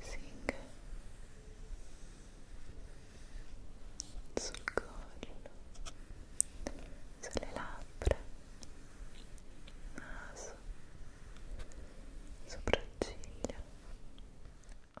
Sing sul collo, sulle labbra, naso, sopracciglia. Oh.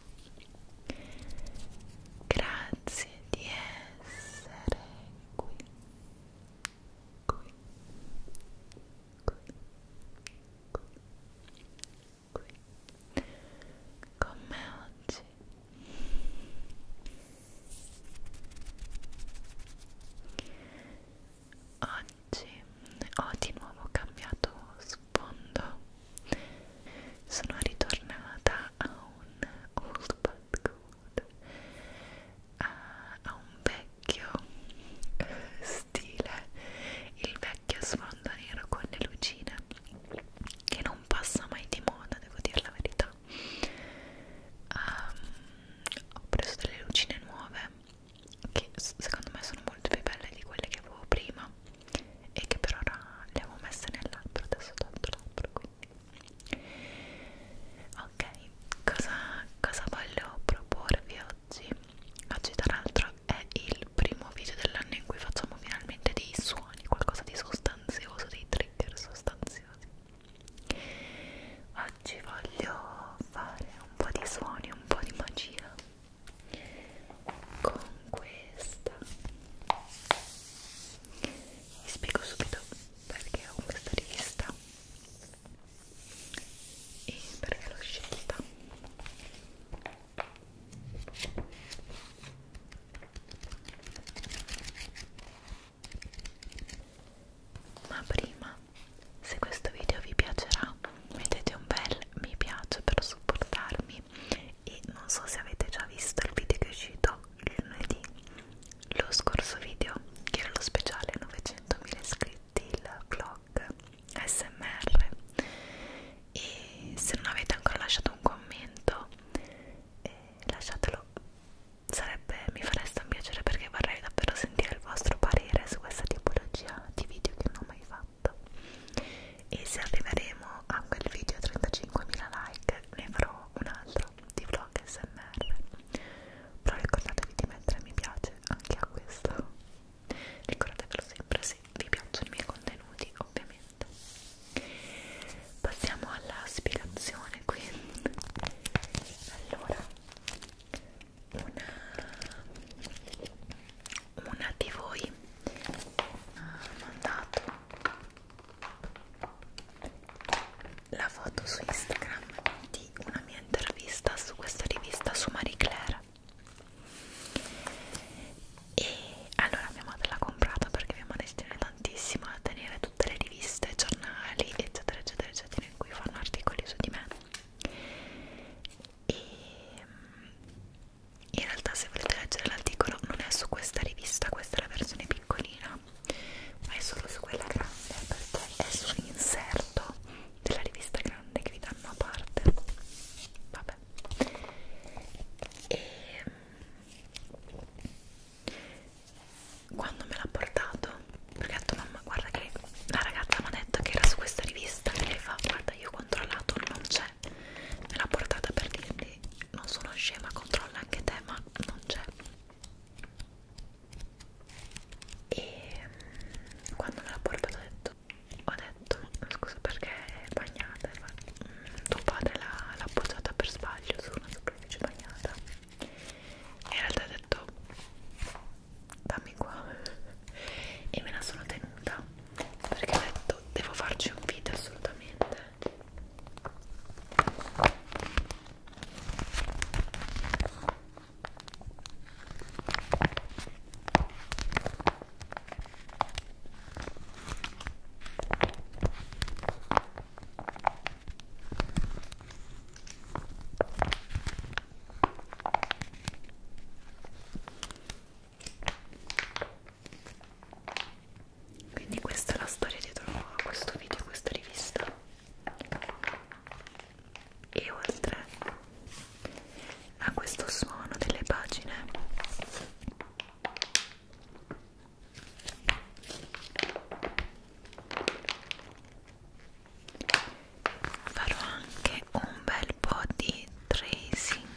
Grazie di essere qui. Qui. Qui. Qui. qui. Con me oggi. Oggi ho oh, di nuovo cambiato sfondo. Sono ritornata a un old but good, a, a un vecchio eh, stile, il vecchio sfondo nero con le lucine che non passa mai di moda, devo dire la verità. Um, ho preso delle lucine nuove che secondo me sono molto più belle di quelle che avevo prima e che per ora le avevo messe nel labbro, adesso tanto labbro quindi ok, cosa, cosa voglio proporvi oggi? oggi tra l'altro è il primo video dell'anno in cui facciamo finalmente dei suoni qualcosa di sostanzioso, dei trigger sostanziosi oggi voglio fare un po' di suoni, un po' di magia con questa vi spiego subito perché ho questa rivista e perché l'ho scelta ma prima se questo video vi piacerà mettete un bel mi piace per supportarmi lunedì e non so se avete già visto il video che è uscito lunedì lo scorso video che era lo speciale 900.000 iscritti il vlog smr e se non avete ancora lasciato un commento eh, lasciatelo sarebbe mi fareste un piacere perché vorrei davvero sentire il vostro parere su questa tipologia di video che non ho mai fatto 8 esatto. e se arriveremo a quel video 35.000 like ne farò un altro di vlog smr però ricordatevi di mettere mi piace anche a questo ricordatevelo sempre se vi piacciono i miei contenuti ovviamente passiamo alla spiegazione quindi allora una una di voi ha ah, mandato la foto su Instagram di una mia intervista su questa rivista su Marie Claire e allora mia madre l'ha comprata perché mia madre si tiene tantissimo a tenere tutte le riviste, giornali eccetera eccetera eccetera in cui fanno articoli su di me e in realtà se volete leggere l'articolo non è su questa rivista questa è la versione piccolina ma è solo su quella grande perché è sull'inserto della rivista grande che vi danno a parte vabbè e mm, quando me l'ha portato perché ho detto mamma guarda che la ragazza mi ha detto che era su questa rivista e lei fa guarda io ho controllato non c'è vabbè me l'ha portata per dirti non sono scema controlla anche te ma non c'è e mm, quando me l'ha portata ho detto ho detto scusa perché è bagnata ma mm, tuo padre l'ha appoggiata per sbaglio su una superficie bagnata e in realtà ha detto dammi qua e me la sono tenuta perché ho detto devo farci un video assolutamente quindi questa è la storia dietro a questo video, a questa rivista e oltre a questo suono delle pagine farò anche un bel po' di tracing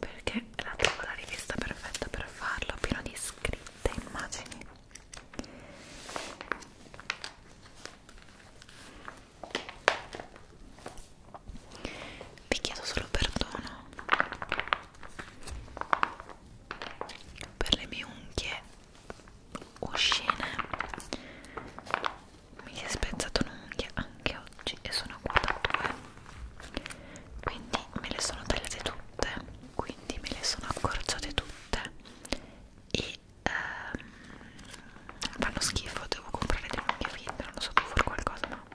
perché la trovo la rivista perfetta per farlo pieno di scritte immagini vi chiedo solo perdono per le mie unghie uscine mi si è spezzato un'unghia anche oggi e sono qua da due quindi me le sono tagliate tutte quindi me le sono accorciate tutte e ehm, fanno schifo devo comprare delle unghie finte non lo so devo fare qualcosa ma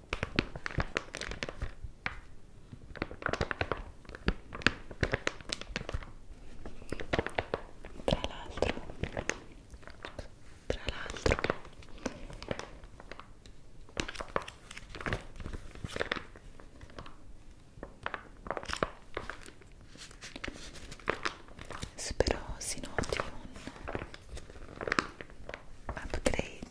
Tra l'altro, tra l'altro, spero si noti un upgrade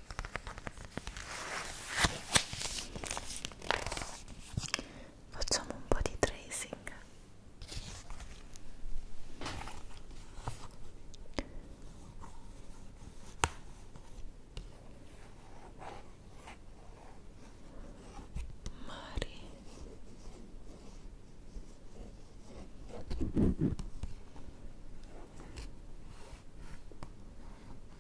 Facciamo un po' di tracing. Mari.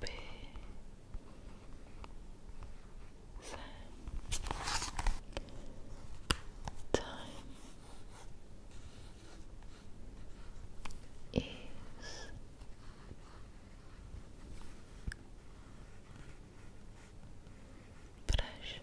B Z time is precious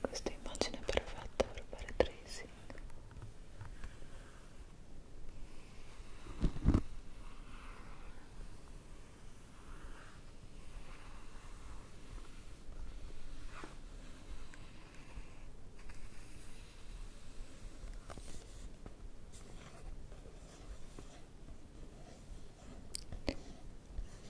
questa immagine perfetta per fare tracing Ecco bellezza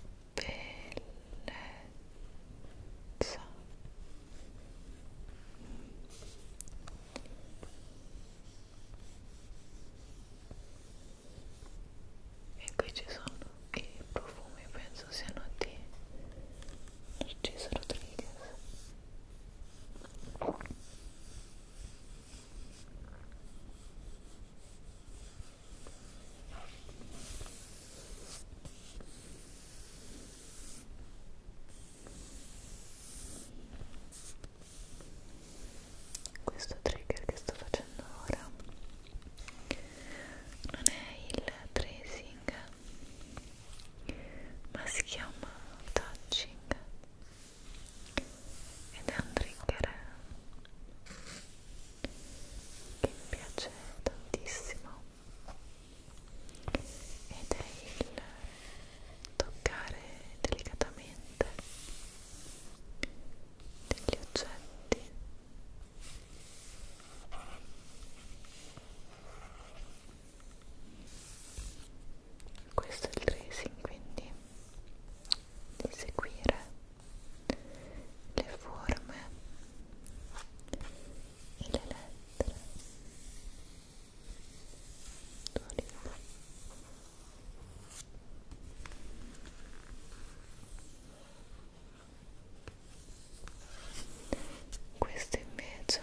e qui ci sono i profumi penso siano di Narciso Rodriguez questo trigger che sto facendo ora non è il tracing, ma si chiama touching ed è un trigger che mi piace tantissimo ed è il toccare delicatamente degli oggetti questo è il tracing quindi di seguire le forme e le lettere d'oliva questo invece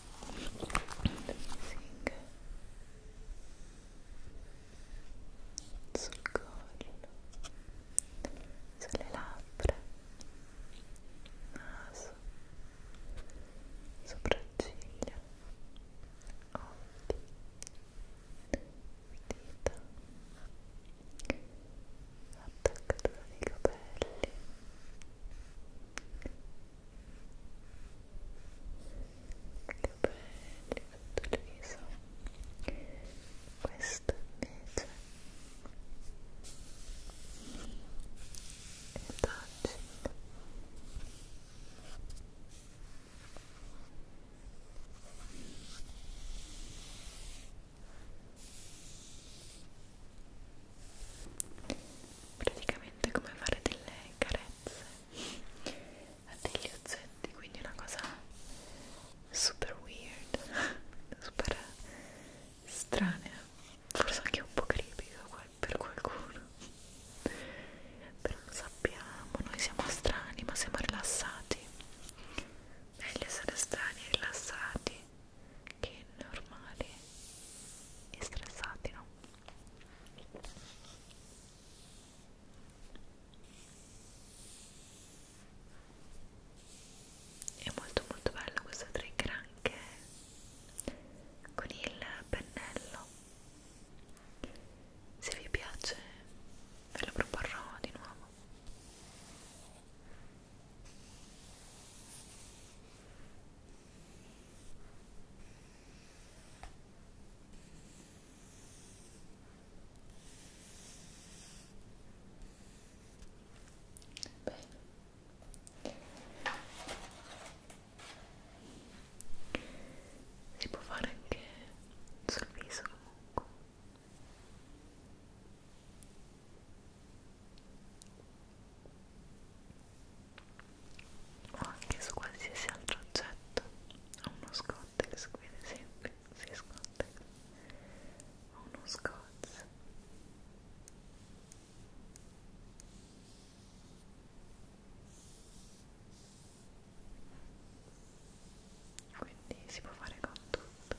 Sing. sul collo sulle labbra naso sopracciglia occhi dita attaccatura dei capelli che belli tutto il viso questo invece è touching Ecco praticamente come fare delle carezze a degli ozzetti quindi una cosa super weird super strana forse anche un po' creepy per qualcuno però lo sappiamo noi siamo strani ma siamo rilassati meglio essere strani e rilassati che normali e stressati no? è molto molto bello questo trigger anche con il pennello se vi piace ve lo proporrò di nuovo Bene. Si può fare anche sul viso comunque o anche su qualsiasi altro oggetto ho uno scottex qui ad esempio si sì, scottex ho uno scotch quindi si può fare con tutto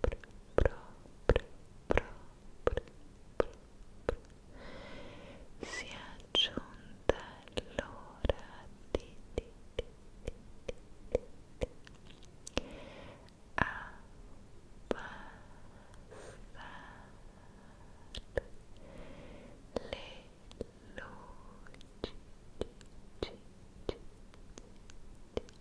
proprio, proprio, proprio si è giunta l'ora di, di, di, di, di, di abbassare le luci. Ci, ci, ci, ci, ci.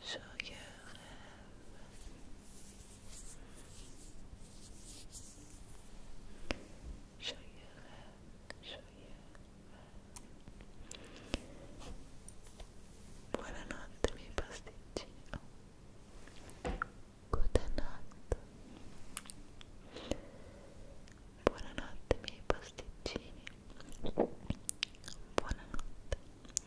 so you have you have you buonanotte miei pasticcino buonanotte buonanotte miei pasticcini buonanotte buonanotte